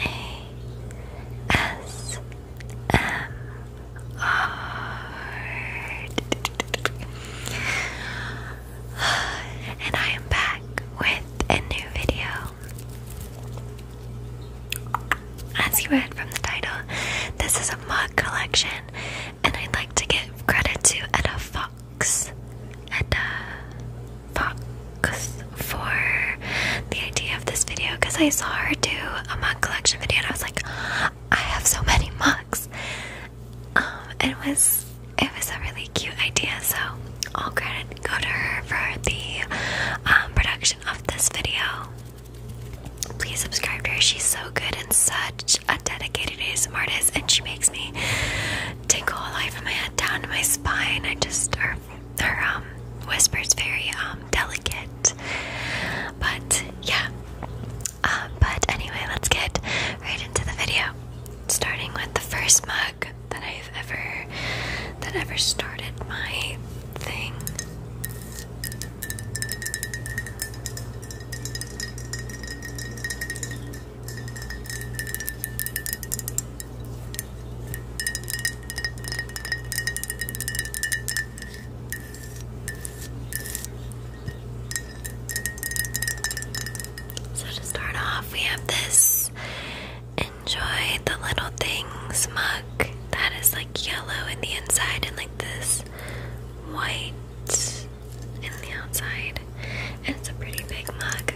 a S M R. And I am back with a new video. As you read from the title, this is a mug collection, and I'd like to give credit to Eda Fox fox and fox for the idea of this video because I saw her do a mug collection video and I was like, I have so many mugs. Um, it was it was a really cute idea, so all credit go to her for the um, production of this video. Please subscribe to her. She's so good and such a dedicated ASMR artist, and she makes me tingle all the way from my head down to my spine. I just her, her um whispers very um delicate, but yeah. Uh, but anyway, let's get right into the video. Starting with the first mug that I've ever that ever started my thing. So, to start off, we have this Enjoy the Little Things mug that is like yellow in the inside and like this white in the outside, and it's a pretty big mug.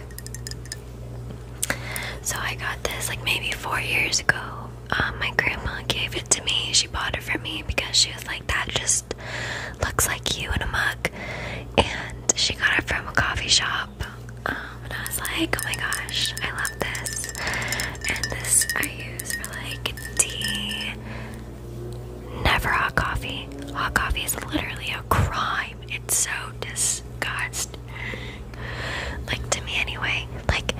So I got this like maybe four years ago. Um, my grandma gave it to me. She bought it for me because she was like, "That just looks like you in a mug," and she got it from a coffee shop. Um, and I was like, "Oh my gosh, I love this!" And this I use for like tea Never hot coffee. Hot coffee is literally a crime. It's so disgusting. Like, to me, anyway. Like,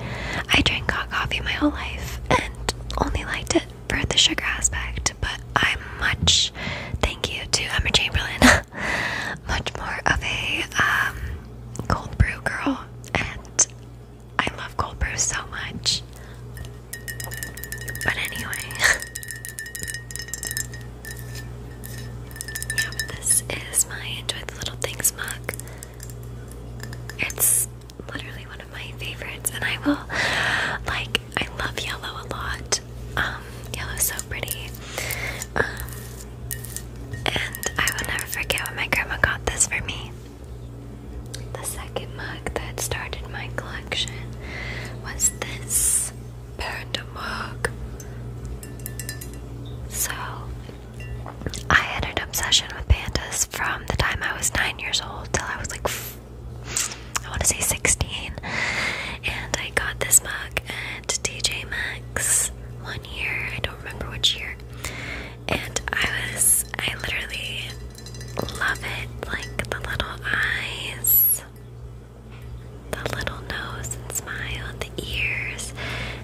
I drank hot coffee my whole life and only liked it for the sugar aspect, but I'm much, thank you to Emma Chamberlain, much more of a um, cold brew girl, and I love cold brew so much. But anyway, yeah. this is my enjoy the little things mug. It's literally one of my favorites, and I will like. I love yellow a lot. Um, yellow's so pretty. Um, and I will never forget when my grandma got this for me. The second mug that started my collection was this panda mug. So, I had an obsession with pandas from the time I was nine years old till I was like, I want to say 16. And I got this mug at DJ Maxx one year, I don't remember which year. And I was, I literally Love it, like the little eyes, the little nose and smile, the ears,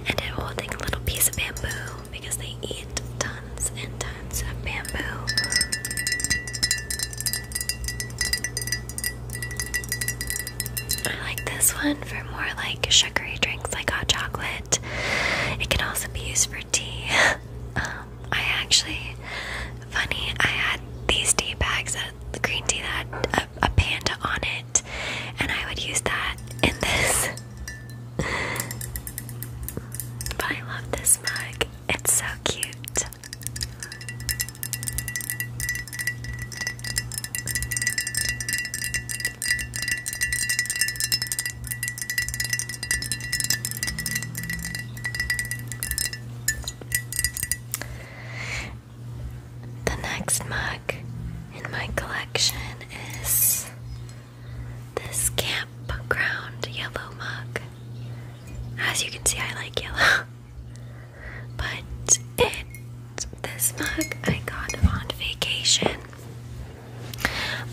and it holding a little piece of bamboo because they eat tons and tons of bamboo. I like this one for more like sugary drinks like hot chocolate. It can also be used for tea. Um, I actually, funny, I had these tea bags uh, the green tea that had a, a panda on it, and I would use that in this. but I love this mug. It's so cute. The next mug in my collection is this campground yellow mug. As you can see, I like yellow. But it's this mug I got on vacation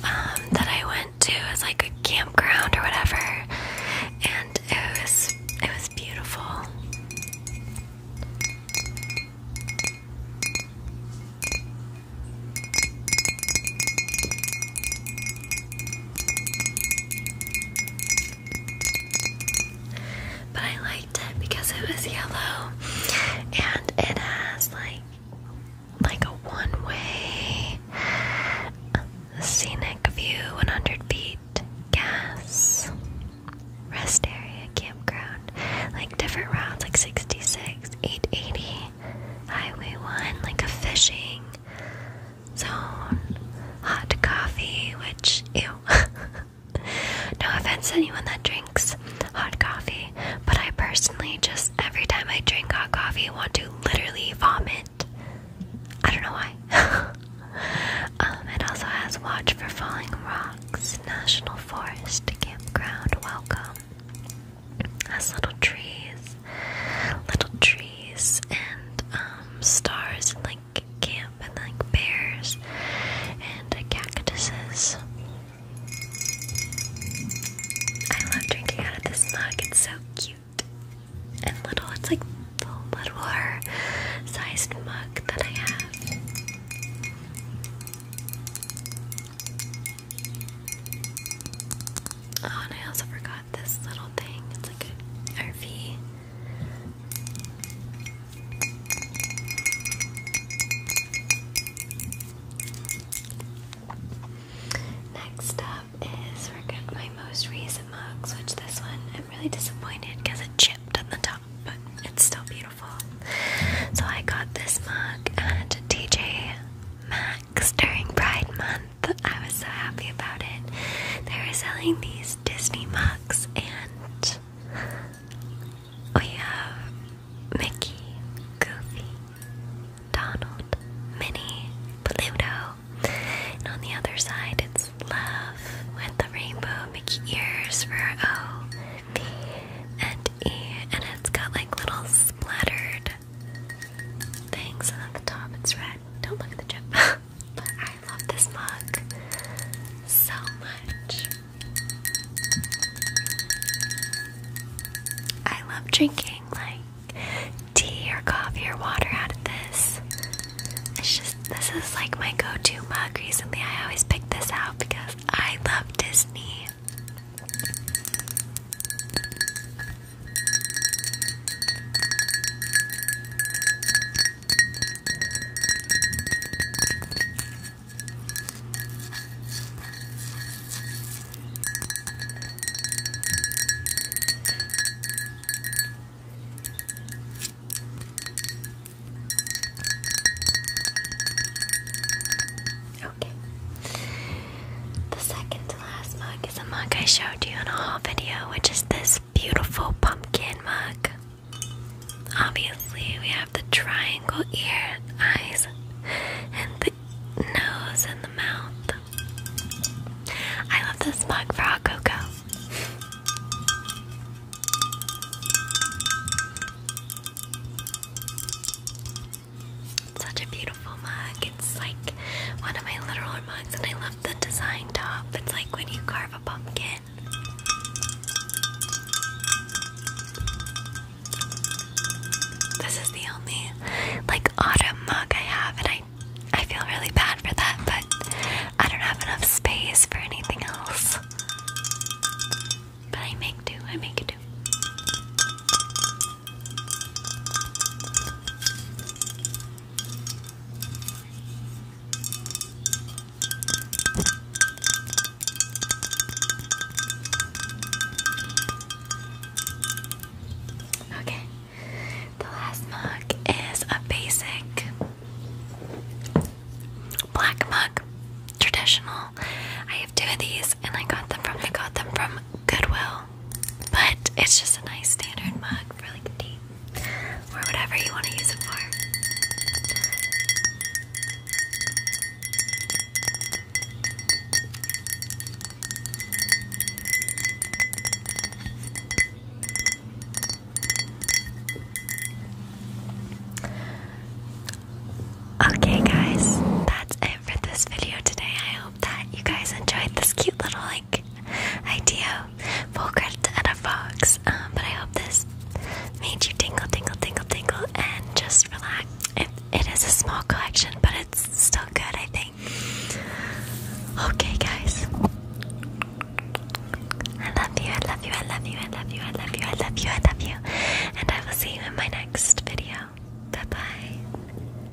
um, that I went to as like a campground or whatever, and it was it was beautiful. But I liked it because it was yellow and it has like like a one-way scenic view, 100 feet, gas, rest area, campground, like different routes, like 66, 880, highway 1, like a fishing zone, hot coffee, which, ew, no offense to anyone that drinks hot coffee, but I personally just every time I drink hot coffee want to literally vomit. I don't know why. Um, it also has Watch for Falling Rocks National Forest Campground. Welcome. Has little trees, little trees, and um, stars, and like camp, and like bears, and cactuses. I love drinking out of this mug. It's so cute and little. It's like little littler sized mug that I have. Oh, and I also forgot this little thing. It's like an RV. Next up is my most recent mugs, which this one I'm really disappointed because it chipped on the top, but it's still beautiful. So I got this mug at TJ Max during Pride Month. I was so happy about it. They were selling these Disney mugs and we have Mickey, Goofy, Donald, Minnie, Pluto, and on the other side it's love with the rainbow Mickey ears for O, B, and E, and it's got like little splattered things, and at the top it's red. Don't look at the chip, I love this mug so much. I love drinking like tea or coffee or water out of this. It's just this is like my go-to mug recently. I always pick this out because I love Disney. Okay. The second to last mug is a mug I showed you in a haul video, which is this beautiful pumpkin mug. Obviously, we have the triangle ear, and eyes, and the nose and the mouth. I love this mug for hot cocoa. Such a beautiful mug. It's like one of my literal mugs, and I the design top. It's like when you carve a pumpkin. This is the only like autumn mug I have and I I feel really bad for that, but I don't have enough space for anything else. But I make do, I make do. Okay, the last mug is a basic black mug, traditional. I have two of these, and I got them from I got them from Goodwill. But it's just a nice standard mug for like tea or whatever you want to use it for. Okay, guys, that's it for this video today. I hope that you guys enjoyed this cute little like idea full credit at a fox um, but I hope this made you tingle tingle tingle tingle and just relax it is a small collection but it's still good I think okay guys I love you I love you I love you I love you I love you I love you I love you and I will see you in my next video bye bye